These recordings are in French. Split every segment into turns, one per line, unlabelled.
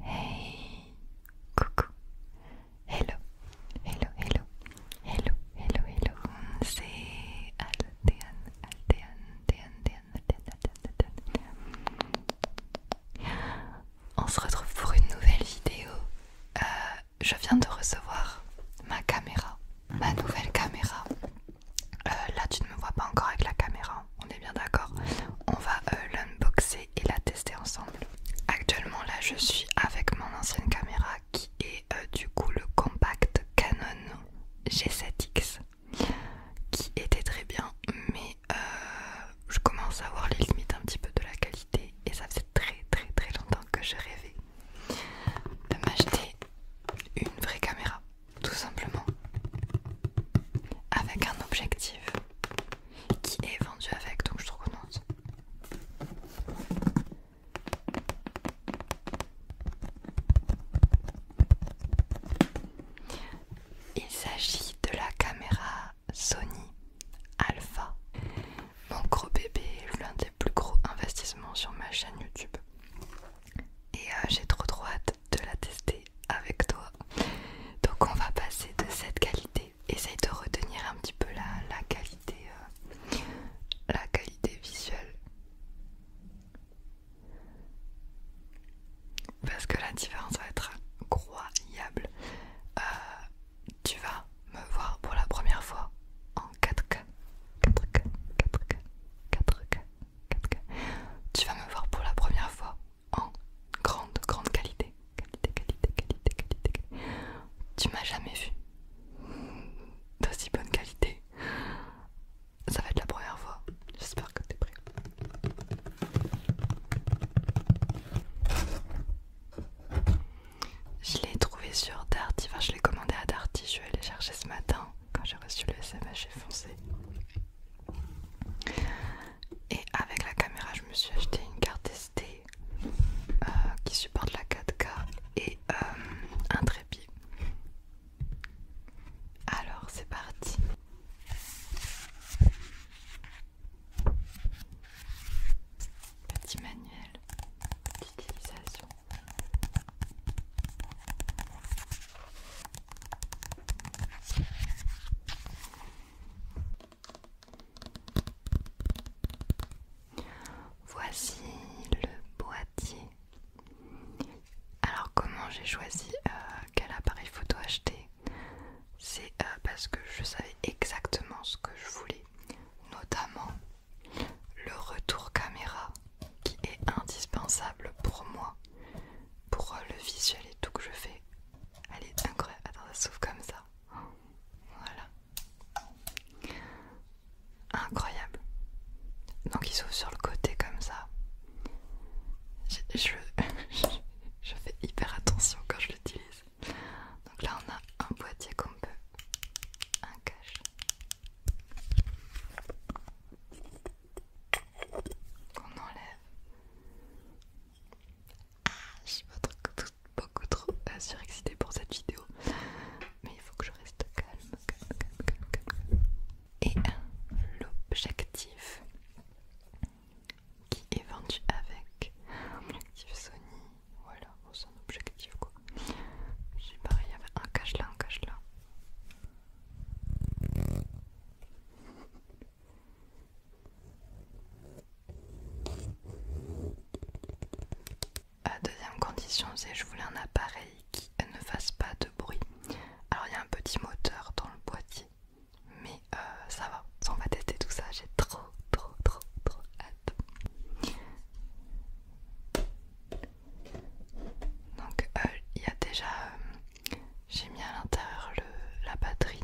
Hey, coucou, hello, hello, hello, hello, hello, hello, c'est On se retrouve pour une nouvelle vidéo. Euh, je viens de recevoir ma caméra, ma nouvelle caméra. Euh, là tu ne me vois pas encore avec la caméra, on est bien d'accord. On va euh, l'unboxer et la tester ensemble. Actuellement là je suis avec mon ancienne caméra qui est euh, du coup le compact Canon G7X qui était très bien mais je commence à voir les limites un petit peu de la qualité et ça fait très très très longtemps que je rêvais de m'acheter une vraie caméra tout simplement, avec un objectif qui est vendu avec, donc je trouve trop Il s'agit de la caméra Sony Alpha, mon gros bébé, l'un des plus gros investissements sur ma chaîne YouTube. Et euh, j'ai trop trop hâte de la tester avec toi. Donc on va passer de cette qualité. Essaye de retenir un petit peu la, qualité, euh, la qualité visuelle. Parce que la différence va être incroyable. Euh, tu vas me voir pour la première fois en 4K, 4K, 4K, 4K, tu vas me voir pour la première fois en grande, grande qualité. Qualité, qualité, qualité, qualité. Tu m'as jamais vu d'aussi bonne qualité. Ça va être la première fois. J'espère que t'es prêt. Je l'ai trouvé sur Darty, enfin je l'ai commandé à Darty, je vais aller chercher ce matin quand j'ai reçu le SMS, et avec la caméra, je me suis acheté une carte SD euh, qui supporte la 4K et euh, un trépied. Alors, c'est parti. Petit manuel d'utilisation. Voici le boîtier. Alors comment j'ai choisi euh, quel appareil photo acheter C'est euh, parce que je savais exactement ce que je voulais, notamment le retour caméra qui est indispensable pour moi, pour euh, le visuel et tout que je fais. Elle est incroyable. Attends, ça s'ouvre comme ça. Voilà. Incroyable. Donc il s'ouvre sur le côté comme ça. Je, fais hyper attention quand je l'utilise. Donc là on a un boîtier qu'on peut, un cache, qu'on enlève. Ah, je suis pas beaucoup trop euh, surexcitée pour cette vidéo, mais il faut que je reste calme, calme, calme, Et l'objectif qui est vendu avec objectif Sony, voilà, c'est un objectif quoi. Je pareil, il y avait un cache là, un cache là deuxième condition, c'est je voulais un appareil qui ne fasse pas de bruit. Alors il y a un petit moteur dans le boîtier, mais euh, ça va, on va tester tout ça, j'ai trop trop trop trop hâte. Donc euh, il y a déjà, euh, j'ai mis à l'intérieur la batterie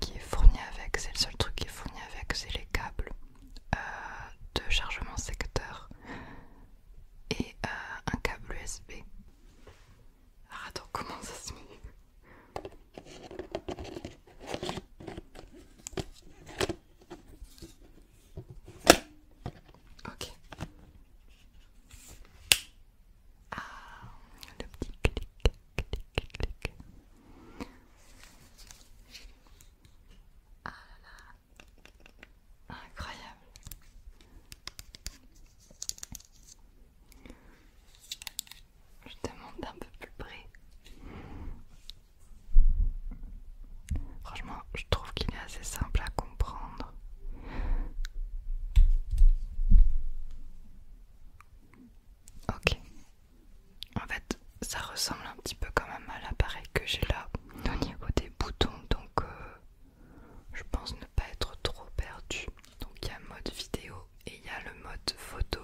qui est fournie avec, c'est le seul truc qui est fourni avec, c'est les câbles euh, de chargement secteur et un câble USB. Alors, attends, comment ça se met Ok. Ah, le petit clic, clic, clic. Ah là là. Incroyable. Je te montre d'un peu plus près. Franchement, je trouve qu'il est assez simple à comprendre. Ok. En fait, ça ressemble un petit peu quand même à l'appareil que j'ai là au niveau des boutons, donc euh, je pense ne pas être trop perdu. Donc il y a mode vidéo et il y a le mode photo.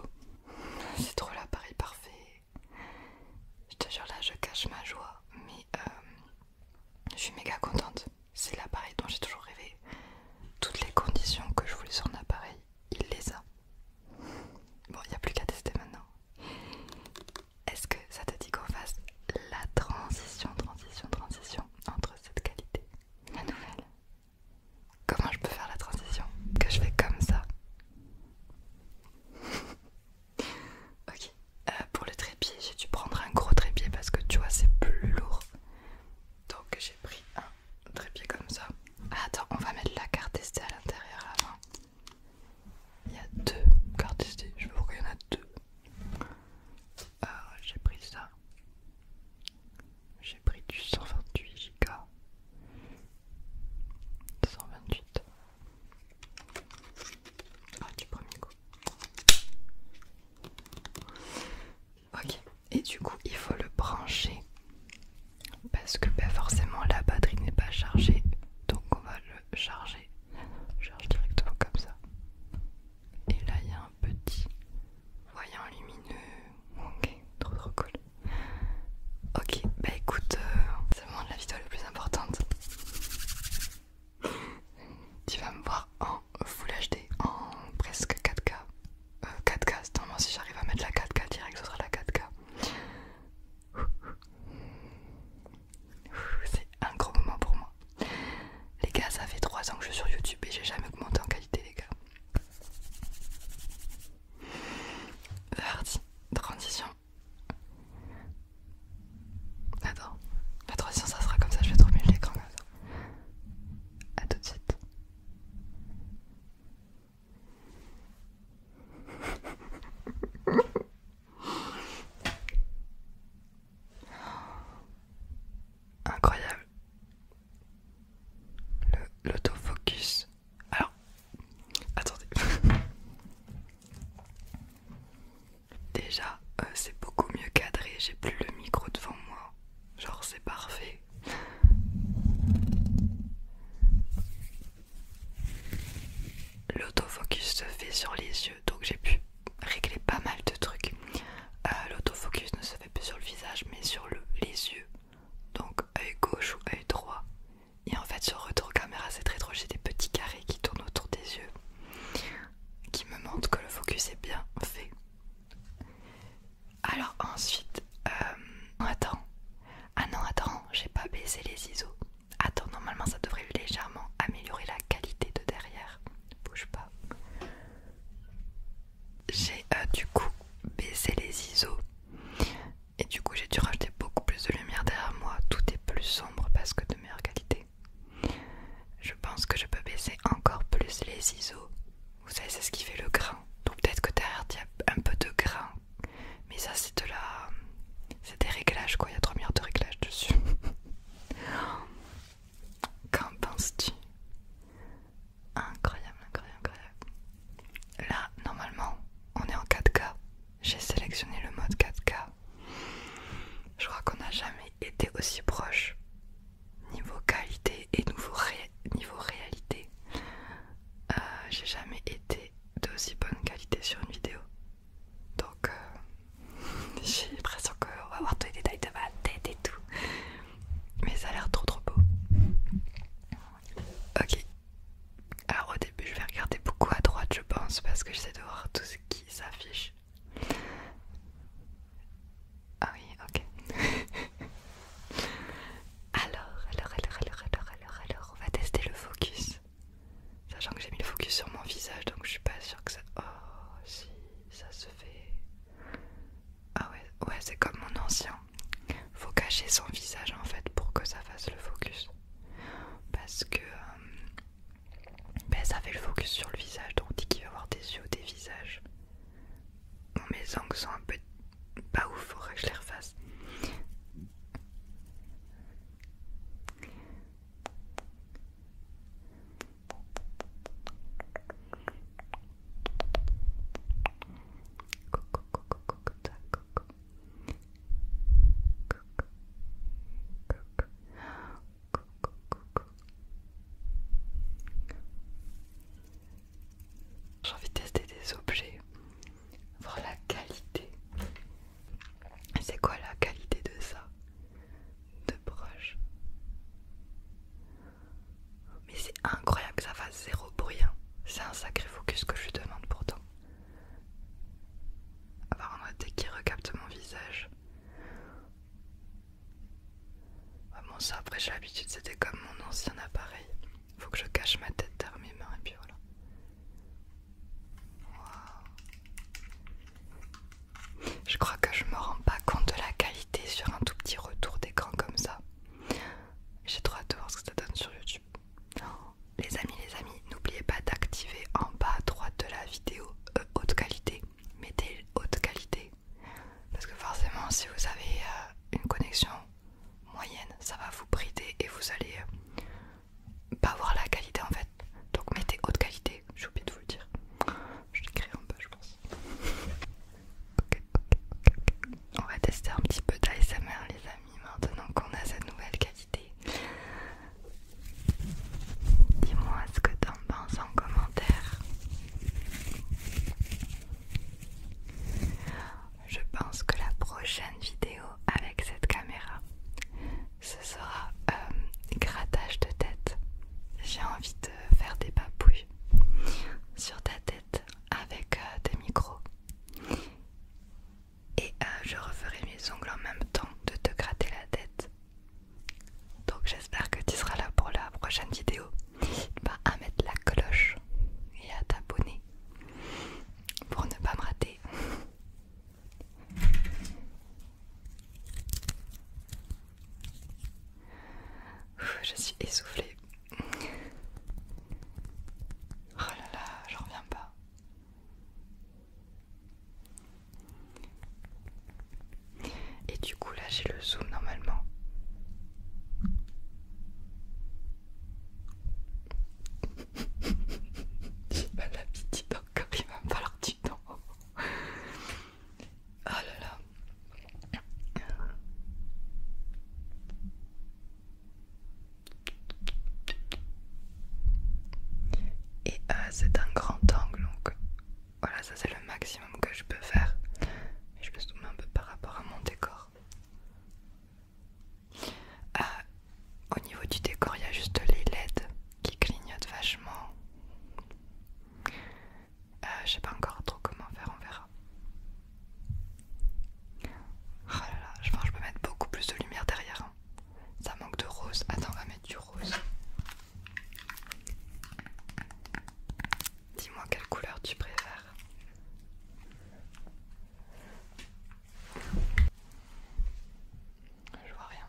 C'est trop l'appareil parfait. Je te jure, là, je cache ma joie, mais euh, je suis méga contente. C'est l'appareil dont j'ai toujours rêvé. Toutes les conditions que je voulais sur un appareil, il les a. Bon, il n'y a plus qu'à tester maintenant. Est-ce que ça te dit qu'on fasse la transition, transition, transition entre cette qualité La nouvelle Comment je peux faire la transition Que je fais comme ça Ok, euh, pour le trépied, j'ai dû prendre un gros trépied parce que tu vois, c'est plus lourd. Donc j'ai pris un trépied comme ça. Ah, attends, on va mettre la carte SD à l'intérieur avant. Il y a deux cartes SD, je vois qu'il y en a deux. Euh, j'ai pris ça. J'ai pris du 128 Go. 128. Ah, du premier coup. Ok, et du coup, il faut le brancher parce que ben, forcément la batterie n'est pas chargée, donc on va le charger. charge directement comme ça. Et là, il y a un petit voyant lumineux. Ok, trop trop cool. Ok, bah écoute, euh, c'est le moment de la vidéo la plus importante. tu vas me voir en Full HD, en presque 4K. 4K, c'est normal, si j'arrive à mettre la 4K direct, ce sera la 4K. C'est un gros moment pour moi. Les gars, ça fait 3 ans que je suis sur YouTube et j'ai jamais augmenté en qualité, les gars. Verdi, transition Attends, la troisième ça sera comme ça, je vais trop mieux l'écran comme A tout de suite. Incroyable. L'autofocus alors, attendez. Déjà, euh, c'est beaucoup mieux cadré, j'ai plus le micro devant moi. Genre, c'est parfait. L'autofocus se fait sur les yeux, donc j'ai pu régler pas mal de trucs. Euh, l'autofocus ne se fait plus sur le visage, mais sur les yeux. Donc, œil gauche ou œil droit, et en fait, sur retour caméra, c'est très drôle. J'ai des petits carrés qui tournent autour des yeux qui me montrent que le focus est bien fait. Alors ensuite, attends. Euh, ah non, attends, j'ai pas baissé les ISO. Attends, normalement ça devrait légèrement améliorer la qualité de derrière. Bouge pas. J'ai euh, du coup baissé les ISO et du coup, j'ai dû rajouter beaucoup plus de lumière derrière moi. Tout est plus sombre parce que de meilleure qualité. Je pense que je peux baisser encore plus les ISO. Vous savez, c'est ce qui fait le grain. Donc peut-être que derrière, il y a un peu de grain. Mais ça, c'est de la... C'est des réglages, quoi. Il y a 3 milliards de réglages dessus. Qu'en penses-tu Incroyable, incroyable, incroyable. Là, normalement, on est en 4K. J'ai sélectionné le mode 4K. Je crois qu'on n'a jamais été aussi proche niveau qualité et niveau, réalité. Euh, j'ai jamais été d'aussi bonne qualité sur une vidéo. Donc, euh, j'ai l'impression qu'on va voir tous les détails de ma tête et tout. Mais ça a l'air trop trop beau. Ok. Alors au début je vais regarder beaucoup à droite je pense parce que j'essaie de voir tout ce qui s'affiche. Ah oui, ok. alors, alors, alors, alors, alors, alors, alors, on va tester le focus. Sachant que j'ai mis le focus sur mon visage donc je suis pas sûre que ça... Oh si, ça se fait... Ah ouais, ouais c'est comme mon ancien faut cacher son visage en fait pour que ça fasse le focus parce que euh, ben, ça fait le focus sur le visage donc on dit qu'il va avoir des yeux ou des visages bon, mes angles sont un peu pas ouf faudrait que je les refasse j'ai envie de tester des objets, voir la qualité. C'est quoi la qualité de ça De broche mais c'est incroyable que ça fasse zéro bruit. Hein. C'est un sacré focus que je lui demande pourtant. Avoir un OT qui recapte mon visage. bon ça après j'ai l'habitude c'était comme mon ancien appareil. Faut que je cache ma tête derrière mes mains et puis voilà. Je crois que je me rends pas compte de la qualité sur un tout petit retour d'écran comme ça. J'ai trop hâte de voir ce que ça donne sur YouTube. Les amis, les amis, n'oubliez pas d'activer en bas à droite de la vidéo euh, haute qualité. Mettez haute qualité. Parce que forcément, si vous avez euh, une connexion moyenne, ça va vous brider et vous allez euh, pas voir la qualité en fait. Donc mettez haute qualité. J'ai oublié de vous le dire. Je l'écris en bas, je pense. On va tester un petit peu mère les amis maintenant qu'on a cette nouvelle qualité. Dis-moi ce que t'en penses en commentaire. Je pense que la prochaine vidéo avec cette caméra, ce sera euh, grattage de tête. J'ai envie de faire des papouilles sur ta tête avec euh, des micros et euh, je referai mes ongles en même temps de te gratter la tête donc j'espère que tu seras là pour la prochaine vidéo pas bah, à mettre la cloche et à t'abonner pour ne pas me rater je suis essoufflée. Oh là là, je reviens pas. Et du coup là j'ai le zoom normalement. J'ai pas petite encore, il va me falloir du temps. Oh Et euh, c'est un grand angle, donc voilà, ça c'est le maximum que je peux faire. je me soumets un peu par rapport à mon décor. Ah, au niveau du décor, il y a juste les LED qui clignotent vachement. Je euh, je sais pas encore trop comment faire, on verra. Oh là là, je pense que je peux mettre beaucoup plus de lumière derrière. Hein. Ça manque de rose. Attends, on va mettre du rose. Dis-moi quelle couleur tu préfères. Je vois rien.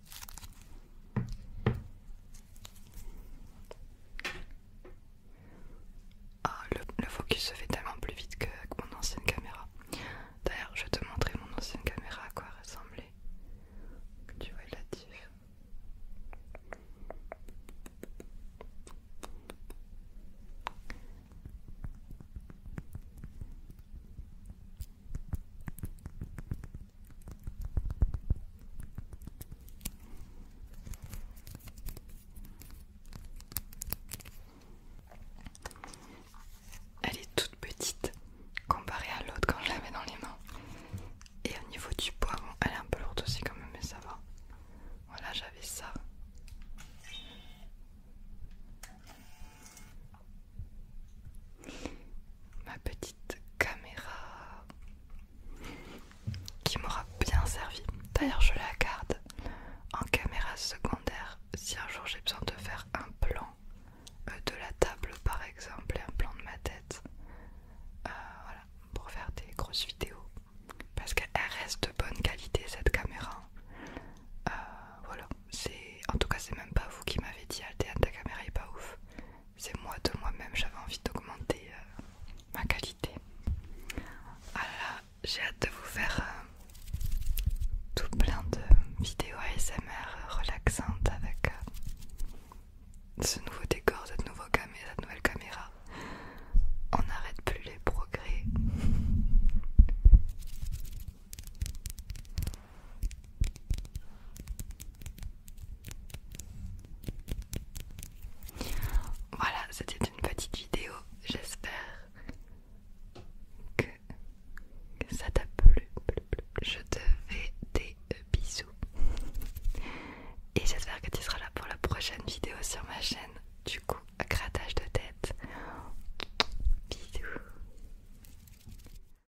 Ah le, focus se fait tellement plus vite qu'avec mon ancienne caméra. D'ailleurs, je vais te montrer mon ancienne caméra à quoi ressemblait. Tu vois la elle est toute petite comparée à l'autre quand je l'avais dans les mains. Et au niveau du poids, elle est un peu lourde aussi quand même, mais ça va. Voilà, j'avais ça ma petite caméra qui m'aura bien servi. D'ailleurs, je la garde en caméra secondaire si un jour j'ai besoin de faire un plan euh, de la table par exemple et un plan de ma tête euh, pour faire des grosses vidéos parce qu'elle reste de bonne qualité cette caméra euh, voilà c'est en tout cas c'est même pas vous qui m'avez dit Altea ta caméra est pas ouf c'est moi de moi-même, j'avais envie d'augmenter euh, ma qualité. Alors j'ai hâte de vous faire euh, tout plein de vidéos ASMR relaxantes avec euh, ce nouveau décor, cette nouvelle caméra. On n'arrête plus les progrès. Voilà, c'était une petite vidéo. J'espère que, ça t'a plu. Je te fais des bisous. Et j'espère que tu seras là pour la prochaine vidéo sur ma chaîne. Du coup, grattage de tête. Bisous.